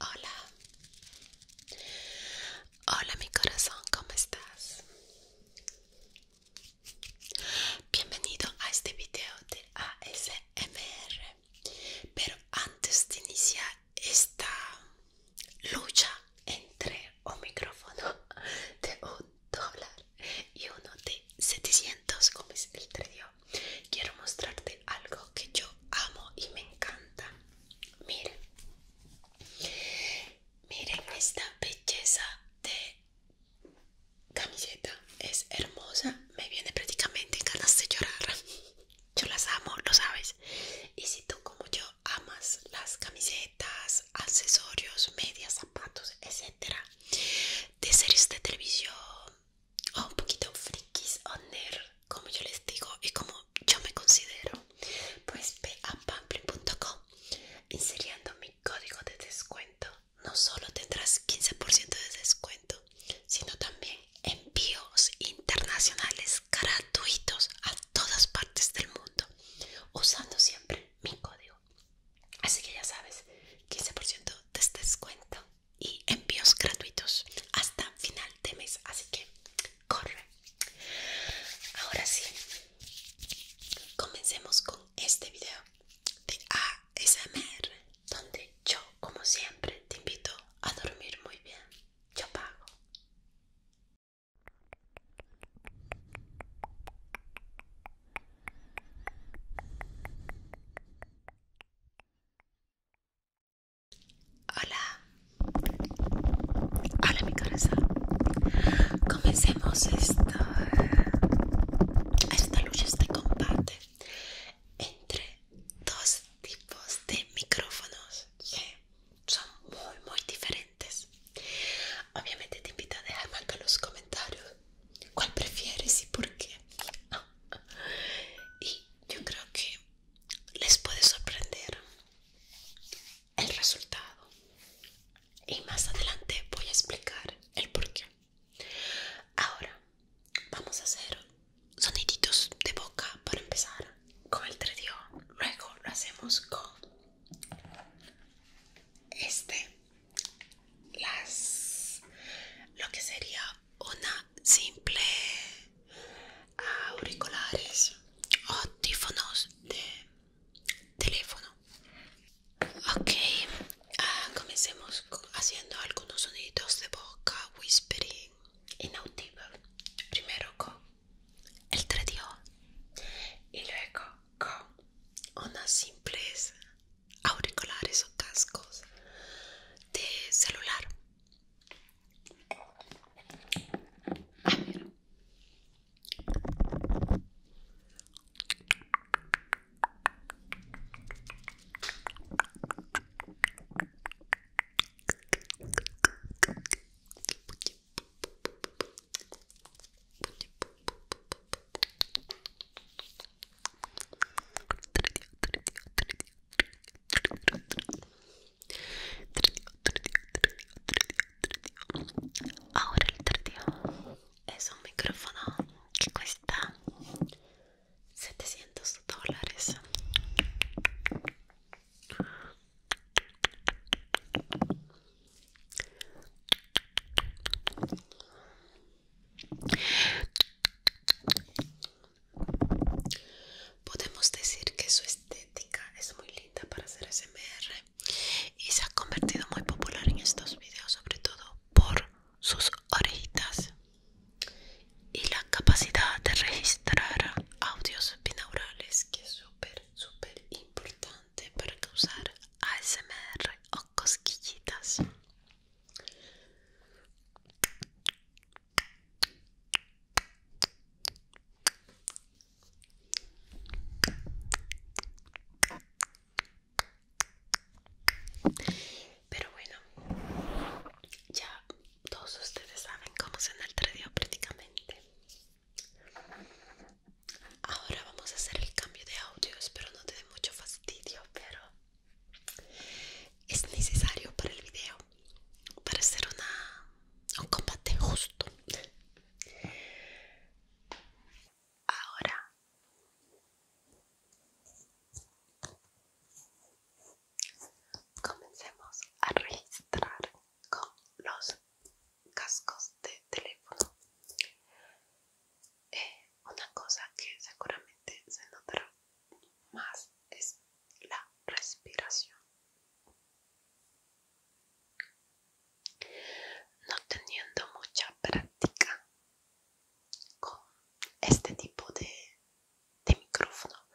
Hola, hola mi corazón, ¿cómo estás? Bienvenido a este video de ASMR. Pero antes de iniciar esta lucha entre un micrófono de un dólar y uno de 700 como es el trío quiero mostrarte algo que yo amo y me encanta. Miren, miren esta belleza de camiseta. Es hermosa, me viene prácticamente ganas de llorar. Yo las amo, lo sabes. Y si tú como yo amas las camisetas, accesorios, medias, zapatos, etcétera, de series de televisión, o oh, un poquito frikis o nerd, como yo les digo y como yo me considero, pues ve a pamplin.com inseriendo mi código de descuento. No solo tendrás 15% de descuento, sino también envíos internacionales gratuitos a todas partes del mundo, usando siempre mi código. Así que ya sabes, 15% de este descuento y envíos gratuitos hasta final de mes. Así que corre. Ahora sí, comencemos con este video de ASMR, donde yo, como siempre, te invito a dormir muy bien. Yo pago. Hola, hola mi corazón. Comencemos esta, esta lucha, este combate entre dos tipos de micrófonos que son muy, muy diferentes. Obviamente te invito a dejarme en los comentarios cuál prefieres y por qué y yo creo que les puede sorprender el resultado y más adelante voy a explicar el porqué ahora vamos a hacer soniditos de boca para empezar con el 3DO, luego lo hacemos con este las lo que sería una simple ah, auriculares o tífonos de teléfono ok ah, comencemos haciendo algunos sonidos de boca whispering inaudible primero con el tradio y luego con una simples auriculares o cascos de celular. Ahora el 3 Es un micrófono Que cuesta 700 dólares Podemos decir que su estética es muy linda para hacer SMR y se ha convertido muy popular en estos videos, sobre todo por sus orejitas y la capacidad de registrar audios binaurales, que es súper, súper importante para causar ASMR o cosquillitas. Pero bueno, ya todos ustedes saben cómo se el prácticamente. Ahora vamos a hacer el cambio de audio, espero no te dé mucho fastidio, pero es necesario para el video para hacer una, un combate justo ahora comencemos a registrar con los cascos de teléfono eh, una cosa que seguramente se notará más es la respiración. No teniendo mucha práctica con este tipo de micrófono,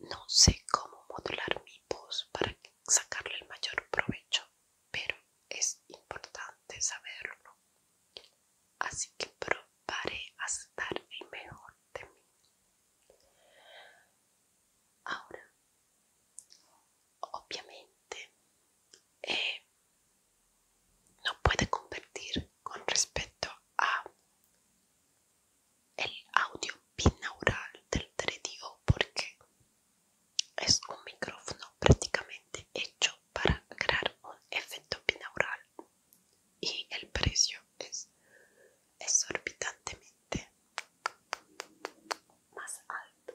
no sé cómo modular mi voz para sacarle el mayor provecho, pero es importante saberlo así que probaré a estar el mejor de mí. Ahora, obviamente, eh, no puede convertir con respecto a el audio binaural del 3DO porque es un micrófono prácticamente hecho para crear un efecto binaural y el precio es exorbitantemente más alto.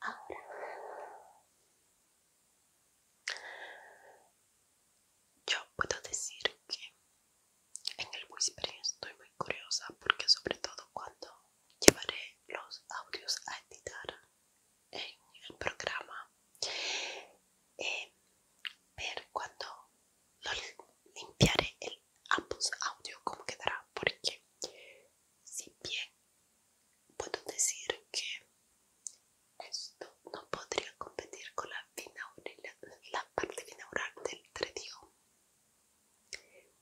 Ahora yo puedo decir que en el whispering estoy muy curiosa porque sobre todo cuando llevaré los audios a editar en el programa eh, ver cuando limpiaré el ambos audio cómo quedará porque si bien puedo decir que esto no podría competir con la, la parte binaural del tredio.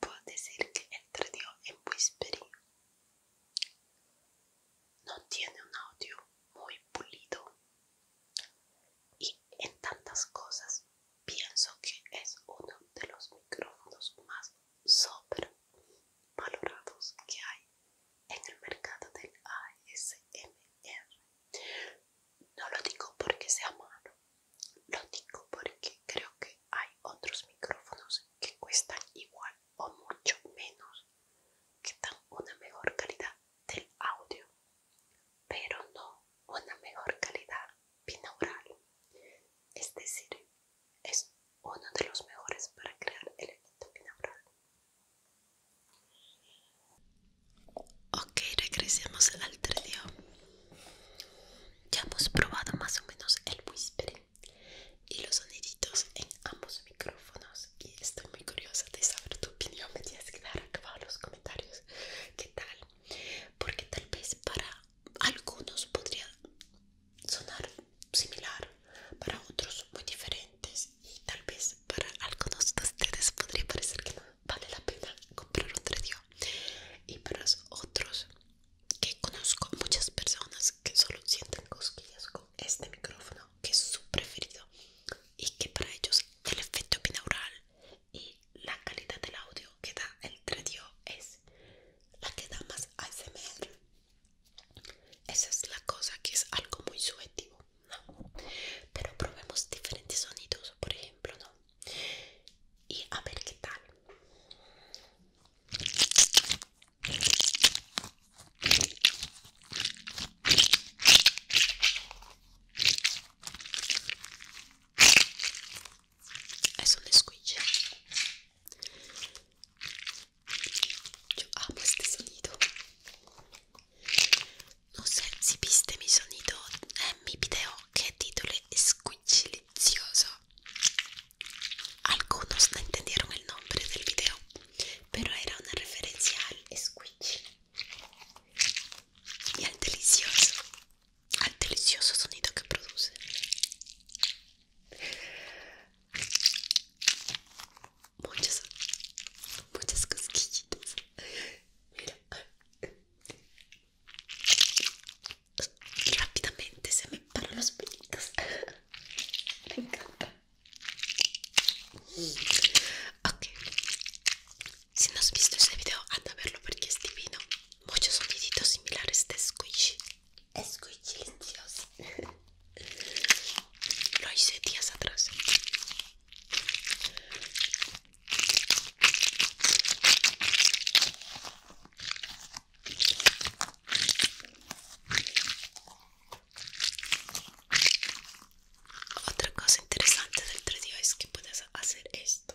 Puedo decir que el tredio en Whispery no tiene un audio muy pulido y en tantas cosas pienso que es uno de los micrófonos más sobre valorados que hay en el mercado del ASMR. No lo digo porque sea malo, lo digo porque creo que hay otros micrófonos que cuestan igual o mucho menos, que dan una mejor calidad del audio, pero no una mejor calidad binaural. Es decir, es uno de los mejores para crear el efecto binaural. Ok, regresemos al 3 día Ya hemos probado más o menos el whisper y los soniditos en ambos micrófonos y estoy muy curiosa de saber tu opinión. Me tienes que dar acá los comentarios qué tal, porque tal vez para algunos podrían sonar similar, para otros muy diferentes y tal vez para algunos de ustedes podría parecer que no vale la pena comprar un 3DO. y para otros que conozco muchas personas que solo sienten cosquillas con este micrófono que es su preferido y que para ellos el efecto binaural y la calidad del audio que da el 3DO es la que da más ASMR esa es la cosa que es algo muy subjetivo, ¿no? Pero probemos diferentes sonidos, por ejemplo, ¿no? Y a ver qué tal. e sono le squiglie io amo ah, questo sonido non sensi piste mi sonido è eh, mi video che titolo è squigilizioso algunos no entendieron el nombre del video pero era una referencia al squidge y al delicioso al delicioso sonido que produce Muchas, cosquillitas. rápidamente se me paran los Me encanta. Ok, si no has visto este video, anda a verlo porque es divino. Muchos sonidos similares de squishy. Es muy Lo hice días atrás. Otra cosa interesante del 3D es que puedes hacer esto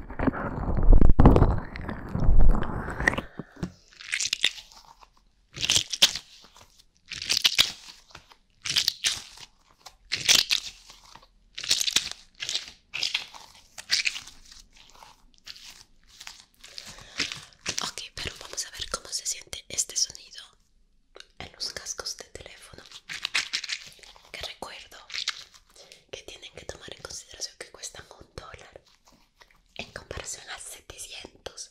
Ok, pero vamos a ver cómo se siente este sonido en los cascos de teléfono. Que recuerdo que tienen que tomar en consideración que cuestan un dólar en comparación a 700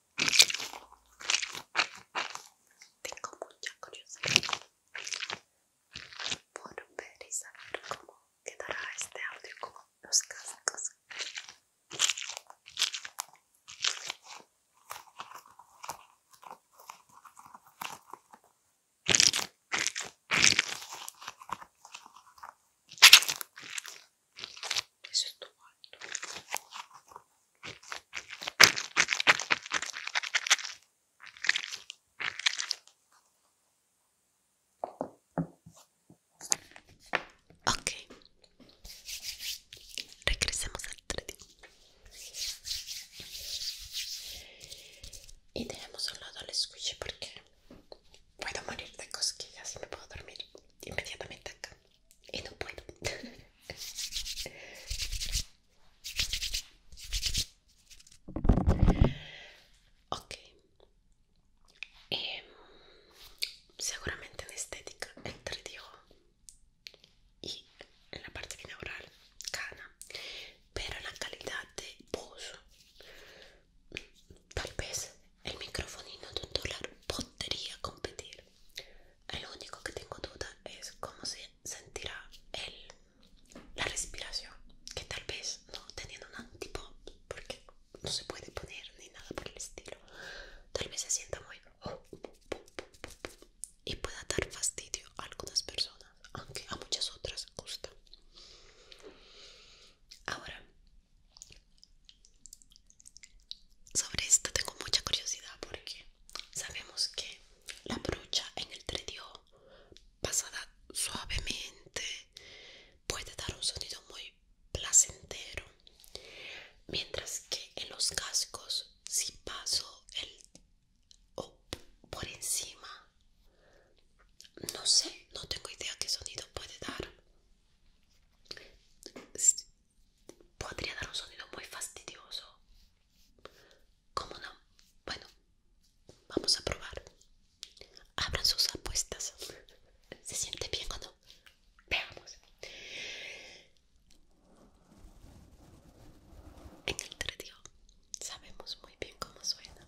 Tengo mucha curiosidad por ver y saber cómo quedará este audio con los cascos. Eso Ok. Regresemos al 3D Y dejemos a un lado el squishy porque puedo morir de cosquillas y me puedo dormir inmediatamente acá y no puedo. Em, seguramente en estética entre digo y en la parte binaural gana, pero la calidad de voz tal vez el microfonino de un dólar podría competir el único que tengo duda es cómo se sentirá el, la respiración, que tal vez no teniendo un tipo porque no se puede poner ni nada por el estilo, tal vez se sienta muy oh, y pueda dar fastidio a algunas personas, aunque a muchas otras gusta. Ahora, sobre esto tengo mucha curiosidad porque sabemos que la brocha en el tredio pasada suavemente puede dar un sonido muy placentero, mientras que en los cascos si paso el o por encima no sé, no tengo idea qué sonido puede dar podría dar un sonido muy fastidioso. como no? Bueno, vamos a probar. Abran sus apuestas. ¿Se siente bien o no? Veamos. En el tredio sabemos muy bien cómo suena.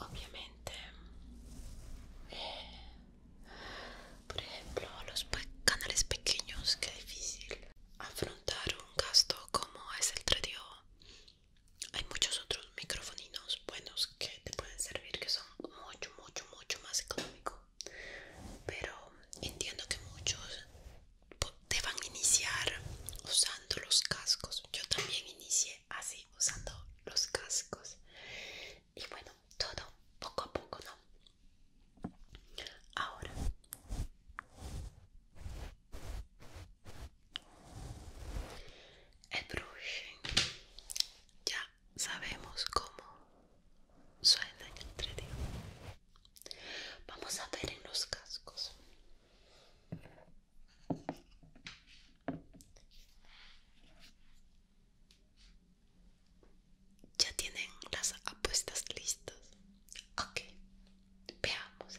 Obviamente, eh, por ejemplo, los canales pequeños, que difícil afrontar un gasto como es el tradio hay muchos otros microfoninos buenos que te pueden servir que son mucho mucho mucho más económico pero entiendo que muchos te van a iniciar usando los cascos yo también inicié así usando los cascos y bueno todo poco a poco no ahora el brushing ya sabemos cómo suena en el Vamos a ver en los cascos. Ya tienen las apuestas listas. Ok, veamos.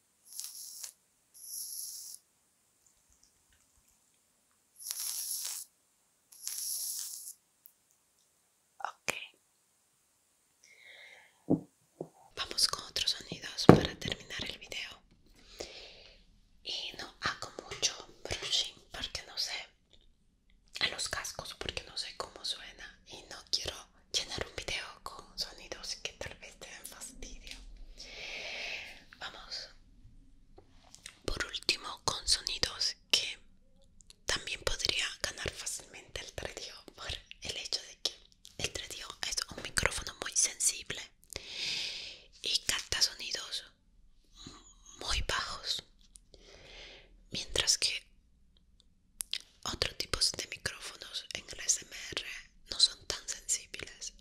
Ok. Vamos con otros sonidos para terminar el video. Y no hago mucho brushing porque no sé a los cascos porque no sé cómo suena y no quiero llenar un video con sonidos que tal vez te den fastidio. Vamos por último con sonidos que también podría ganar fácilmente el tradio por el hecho de que el tretío es un micrófono muy sensible y capta sonidos muy bajos mientras que otros tipos de micrófonos en el SMR no son tan sensibles.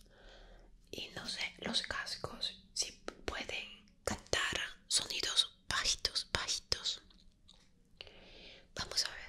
Y no sé, los cascos si pueden cantar sonidos bajitos, bajitos. Vamos a ver.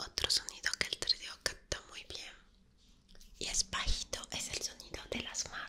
Otro sonido que el trío canta muy bien y es bajito, es el sonido de las manos,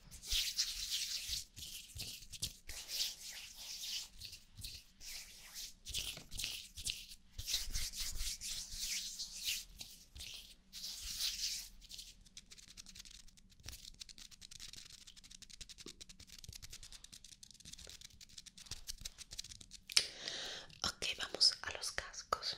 Ok, vamos a los cascos.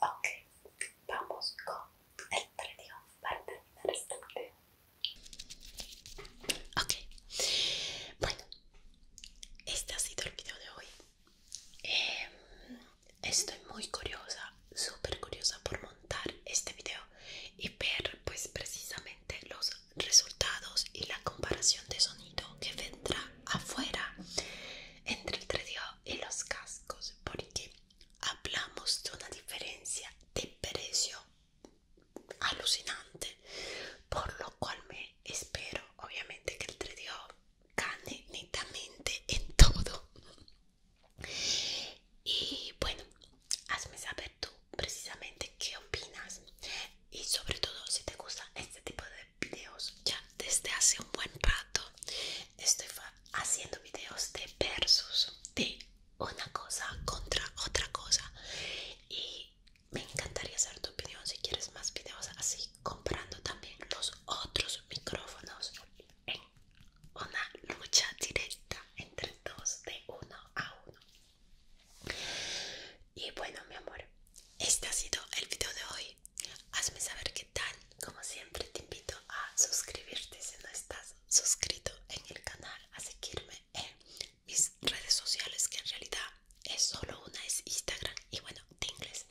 Ok, vamos con el predio para terminar este video. Ok, bueno, este ha sido el video de hoy. Em, estoy muy curiosa, súper curiosa por montar este video y ver pues precisamente los resultados y la comparación de sonido que vendrá afuera entre el 3DO y los cascos porque hablamos de una diferencia de precio alucinante por lo cual me espero obviamente que el 3DO gane netamente en todo y bueno hazme saber tú precisamente qué opinas y sobre todo si te gusta este tipo de videos ya desde hace un buen rato estoy haciendo videos de versus de una cosa contra otra cosa y me encantaría saber tu opinión si quieres más videos así comparando también los otros micrófonos en una lucha directa entre dos de uno a uno y bueno, mi amor, este ha sido el video de hoy. Hazme saber qué tal. Como siempre, te invito a suscribirte si no estás suscrito en el canal, a seguirme en mis redes sociales, que en realidad es solo una, es Instagram y bueno, de inglés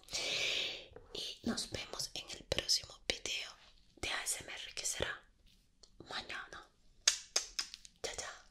Y nos vemos en el próximo video de ASMR que será mañana. Chao, chao.